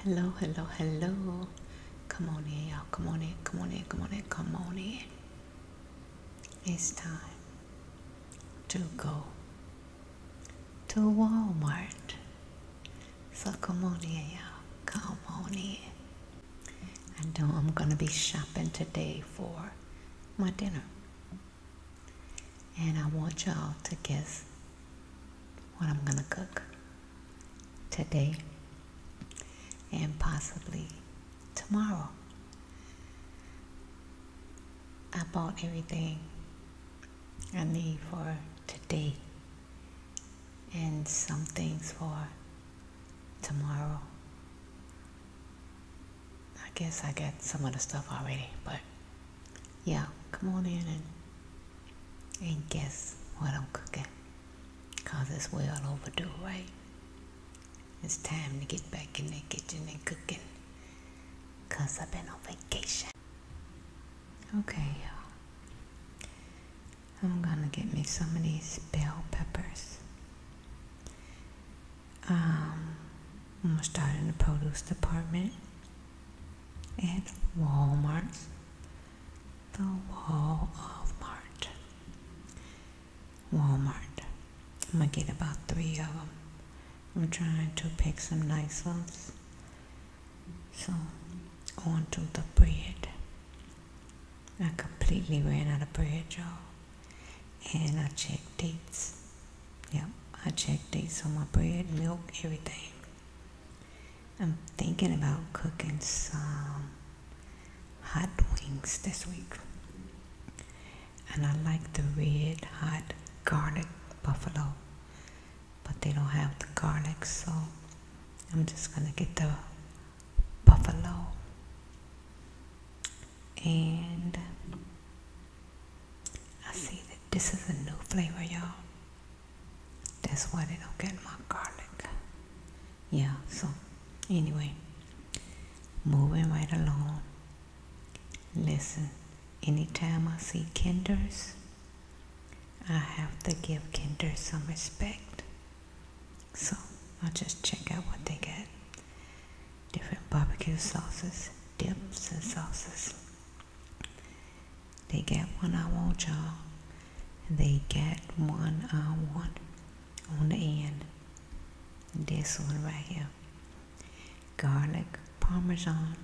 Hello, hello, hello. Come on in, y'all. Come on in, come on in, come on in, come on in. It's time to go to Walmart. So come on in, y'all. Come on in. I know I'm going to be shopping today for my dinner. And I want y'all to guess what I'm going to cook today and possibly tomorrow. I bought everything I need for today and some things for tomorrow. I guess I got some of the stuff already, but yeah, come on in and, and guess what I'm cooking. Because it's well overdue, right? It's time to get back in the kitchen and cooking. Because I've been on vacation. Okay, y'all. I'm going to get me some of these bell peppers. Um, I'm going to start in the produce department. At Walmart, the wall Walmart. I'm gonna get about three of them. I'm trying to pick some nice ones. So, on to the bread. I completely ran out of bread, y'all. And I checked dates. Yep, I checked dates on my bread, milk, everything. I'm thinking about cooking some hot wings this week. And I like the red hot garlic buffalo, but they don't have the garlic, so I'm just gonna get the buffalo. And I see that this is a new flavor, y'all that's why they don't get my garlic yeah so anyway moving right along listen anytime i see kinders i have to give kinders some respect so i'll just check out what they get different barbecue sauces dips and sauces they get one hour job. They get one want on the end. This one right here. Garlic parmesan.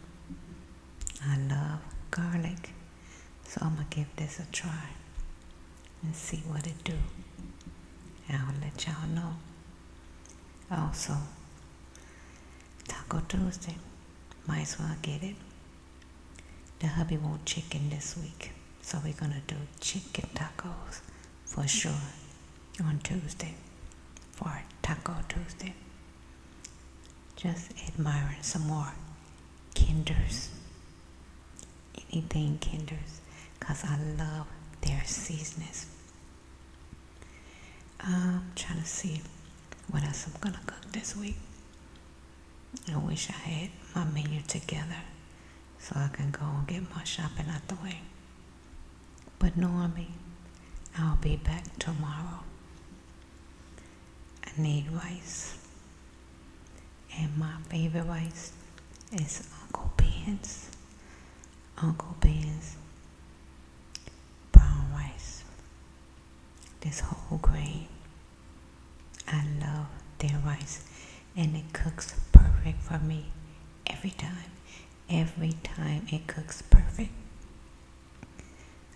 I love garlic. So I'm gonna give this a try and see what it do. I'll let y'all know. Also, Taco Tuesday. Might as well get it. The hubby won't chicken this week, so we're gonna do chicken tacos for sure on Tuesday for Taco Tuesday. Just admiring some more Kinders. Anything Kinders, because I love their seasonings. I'm trying to see what else I'm gonna cook this week? I wish I had my menu together so I can go and get my shopping out the way. But Normie, I'll be back tomorrow. I need rice. And my favorite rice is Uncle Ben's. Uncle Ben's brown rice. This whole grain. I love their rice and it cooks perfect for me every time. Every time it cooks perfect.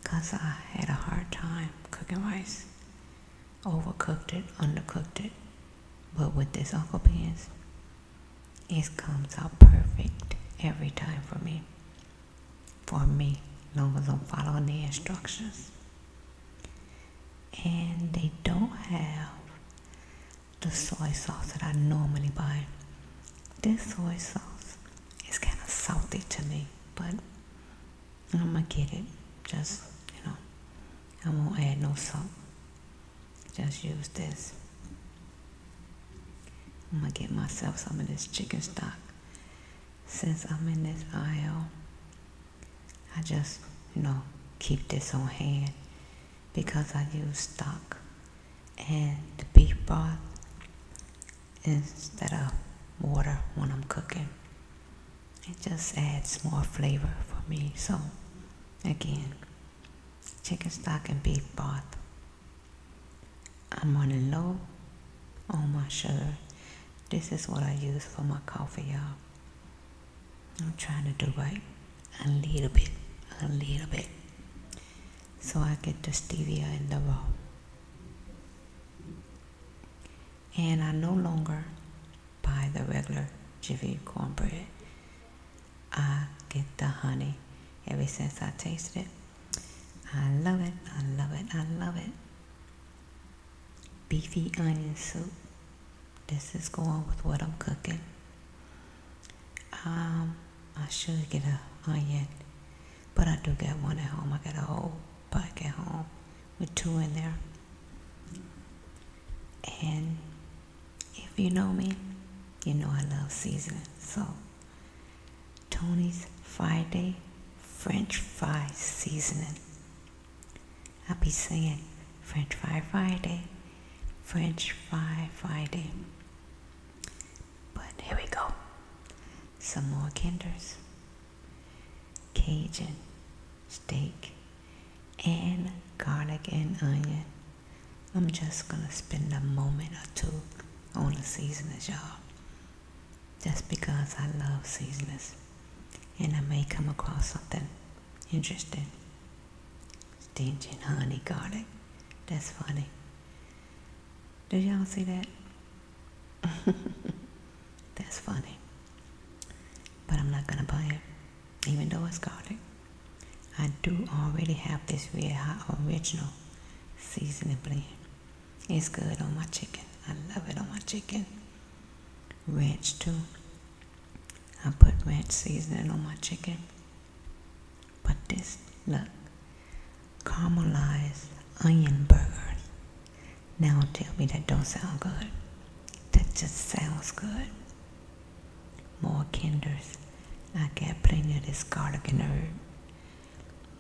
Because I had a hard time cooking rice. Overcooked it, undercooked it. But with this Uncle Ben's, it comes out perfect every time for me for me, as long as I'm following the instructions. And they don't have the soy sauce that I normally buy. This soy sauce is kind of salty to me, but I'm gonna get it. Just, you know, I won't add no salt. Just use this. I'm gonna get myself some of this chicken stock since I'm in this aisle, I just, you know, keep this on hand because I use stock and the beef broth instead of water when I'm cooking. It just adds more flavor for me. So, again, chicken stock and beef broth. I'm running low on my sugar. This is what I use for my coffee, y'all. I'm trying to do right a little bit, a little bit. So I get the stevia in the raw. And I no longer buy the regular Jivy cornbread. I get the honey. Ever since I tasted it, I love it, I love it, I love it. Beefy onion soup. This is going with what I'm cooking. Um, I should get an onion, but I do get one at home. I got a whole pack at home with two in there. And if you know me, you know I love seasoning. So Tony's Friday French fry seasoning. I'll be saying French fry Friday, French fry Friday. But here we go. Some more kinders. Cajun steak and garlic and onion. I'm just gonna spend a moment or two on the seasonings, y'all just because I love seasonings and I may come across something interesting. Stinging honey garlic. That's funny. Did y'all see that? That's funny. But I'm not gonna buy it, even though it's garlic. I do already have this Red Hot Original seasoning it's good on my chicken. I love it on my chicken. Ranch too. I put ranch seasoning on my chicken. But this, look, caramelized onion burgers. Now tell me that don't sound good. That just sounds good. More kinders. I got plenty of this garlic and herb.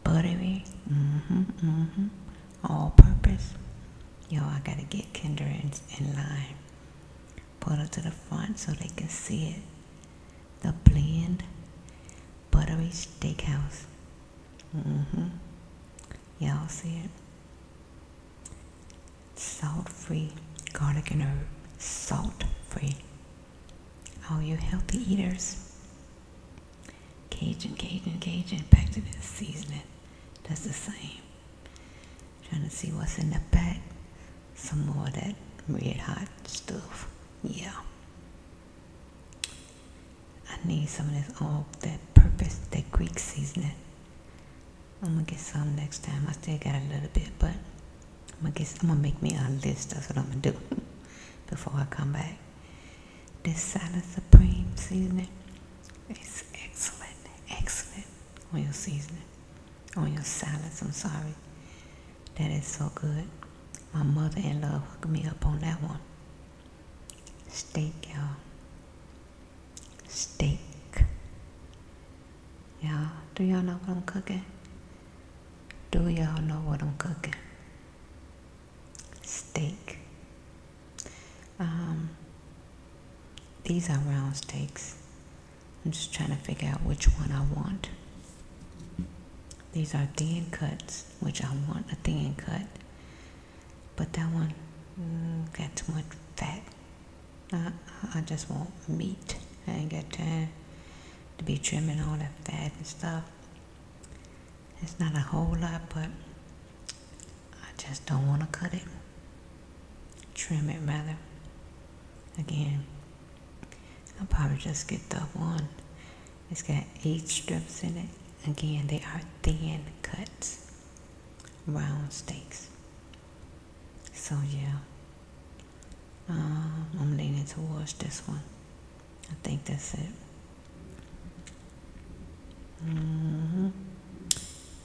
Buttery. Mm-hmm. Mm-hmm. All purpose. Yo, I gotta get Kendra and in Put it to the front so they can see it. The blend buttery steakhouse. Mm-hmm. Y'all see it? Salt free garlic and herb. Salt free. All you healthy eaters. Cajun, Cajun, Cajun. Back to the seasoning. Does the same. Trying to see what's in the bag. Some more of that red hot stuff. Yeah. I need some of this all that purpose, that Greek seasoning. I'm gonna get some next time. I still got a little bit, but I'm gonna make me a list. That's what I'm gonna do before I come back. This Salad Supreme seasoning is excellent, excellent on your seasoning, on your salads. I'm sorry. That is so good. My mother in law hooked me up on that one. Steak, y'all. Steak. Y'all, do y'all know what I'm cooking? Do y'all know what I'm cooking? steak. Um, these are round steaks. I'm just trying to figure out which one I want. These are thin cuts, which I want a thin cut. But that one mm, got too much fat. I, I just want meat. I ain't got time to be trimming all that fat and stuff. It's not a whole lot, but I just don't want to cut it. Trim it, rather. Again, I'll probably just get the one. It's got eight strips in it. Again, they are thin cuts, round steaks. So yeah, um, I'm leaning towards this one. I think that's it. Mm -hmm.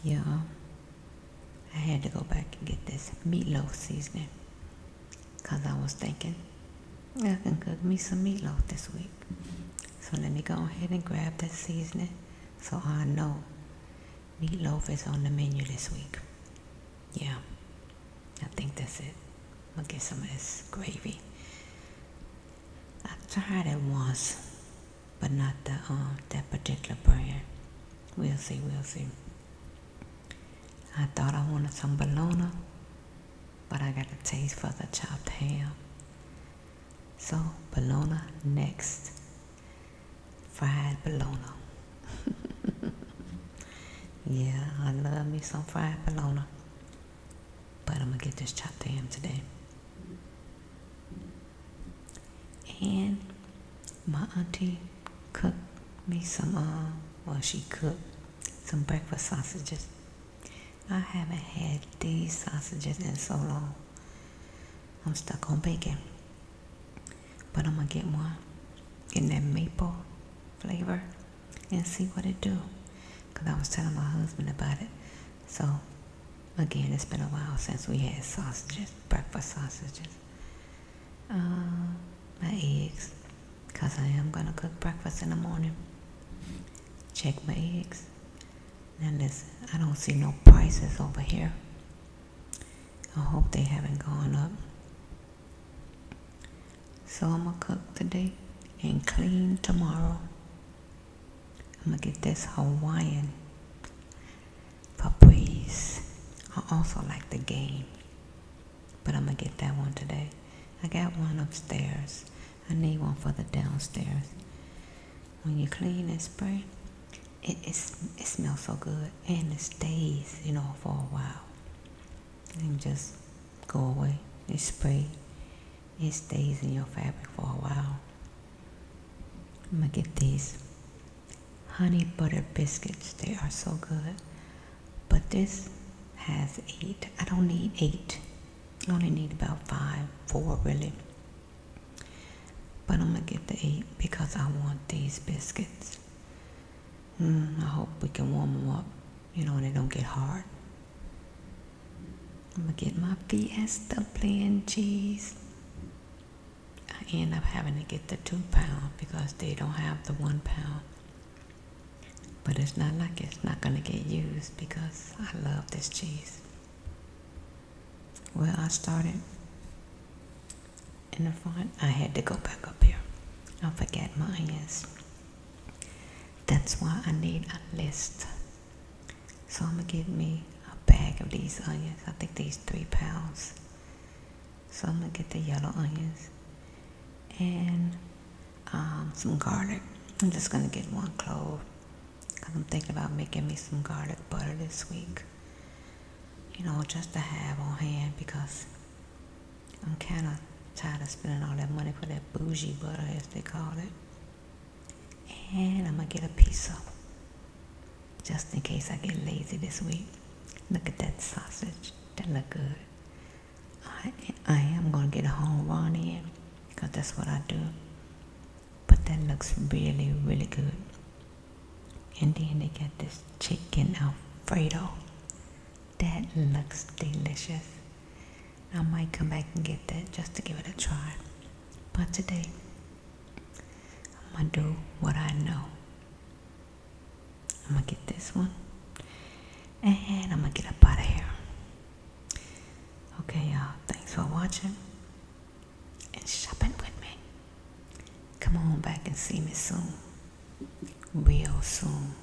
Yeah, I had to go back and get this meatloaf seasoning because I was thinking I can cook me some meatloaf this week. So let me go ahead and grab that seasoning so I know meatloaf is on the menu this week. Yeah, I think that's it. I'm gonna get some of this gravy i tried it once, but not the um, that particular brand. We'll see, we'll see. I thought I wanted some bologna, but I got a taste for the chopped ham. So bologna next. Fried bologna. yeah, I love me some fried bologna. But I'm going to get this chopped to today. And my auntie cooked me some, uh, well, she cooked some breakfast sausages. I haven't had these sausages in so long. I'm stuck on bacon. But I'm going to get one in that maple flavor and see what it do. Cause I was telling my husband about it. So again, it's been a while since we had sausages, breakfast sausages. Uh, my eggs, cause I am gonna cook breakfast in the morning. Check my eggs. Now listen, I don't see no prices over here. I hope they haven't gone up. So I'm going to cook today and clean tomorrow. I'm going to get this Hawaiian Caprice. I also like the game, but I'm going to get that one today. I got one upstairs. I need one for the downstairs. When you clean and spray, it, it, smells so good and it stays, you know, for a while. And just go away. It spray it stays in your fabric for a while. I'm gonna get these honey butter biscuits. They are so good. But this has eight. I don't need eight. I only need about five, four really. But I'm gonna get the eight because I want these biscuits. Mm, I hope we can warm them up, you know, and they don't get hard. I'm gonna get my Fiesta plain cheese. I end up having to get the two pound because they don't have the one pound. But it's not like it's not gonna get used because I love this cheese. Well, I started in the front. I had to go back up here. I forget my onions. That's why I need a list. So I'm gonna give me a bag of these onions. I think these three pounds. So I'm gonna get the yellow onions and um, some garlic. I'm just gonna get one clove. Cause I'm thinking about making me some garlic butter this week. You know, just to have on hand because I'm kind of Tired of spending all that money for that bougie butter, as they call it. And I'm going to get a pizza. Just in case I get lazy this week. Look at that sausage. That look good. I, I am going to get a home run here Because that's what I do. But that looks really, really good. And then they got this chicken Alfredo. That looks delicious. I might come back and get that just to give it a try. But today, I'm going to do what I know. I'm going to get this one and I'm going to get up out of here. Okay, y'all. Thanks for watching and shopping with me. Come on back and see me soon. Real soon.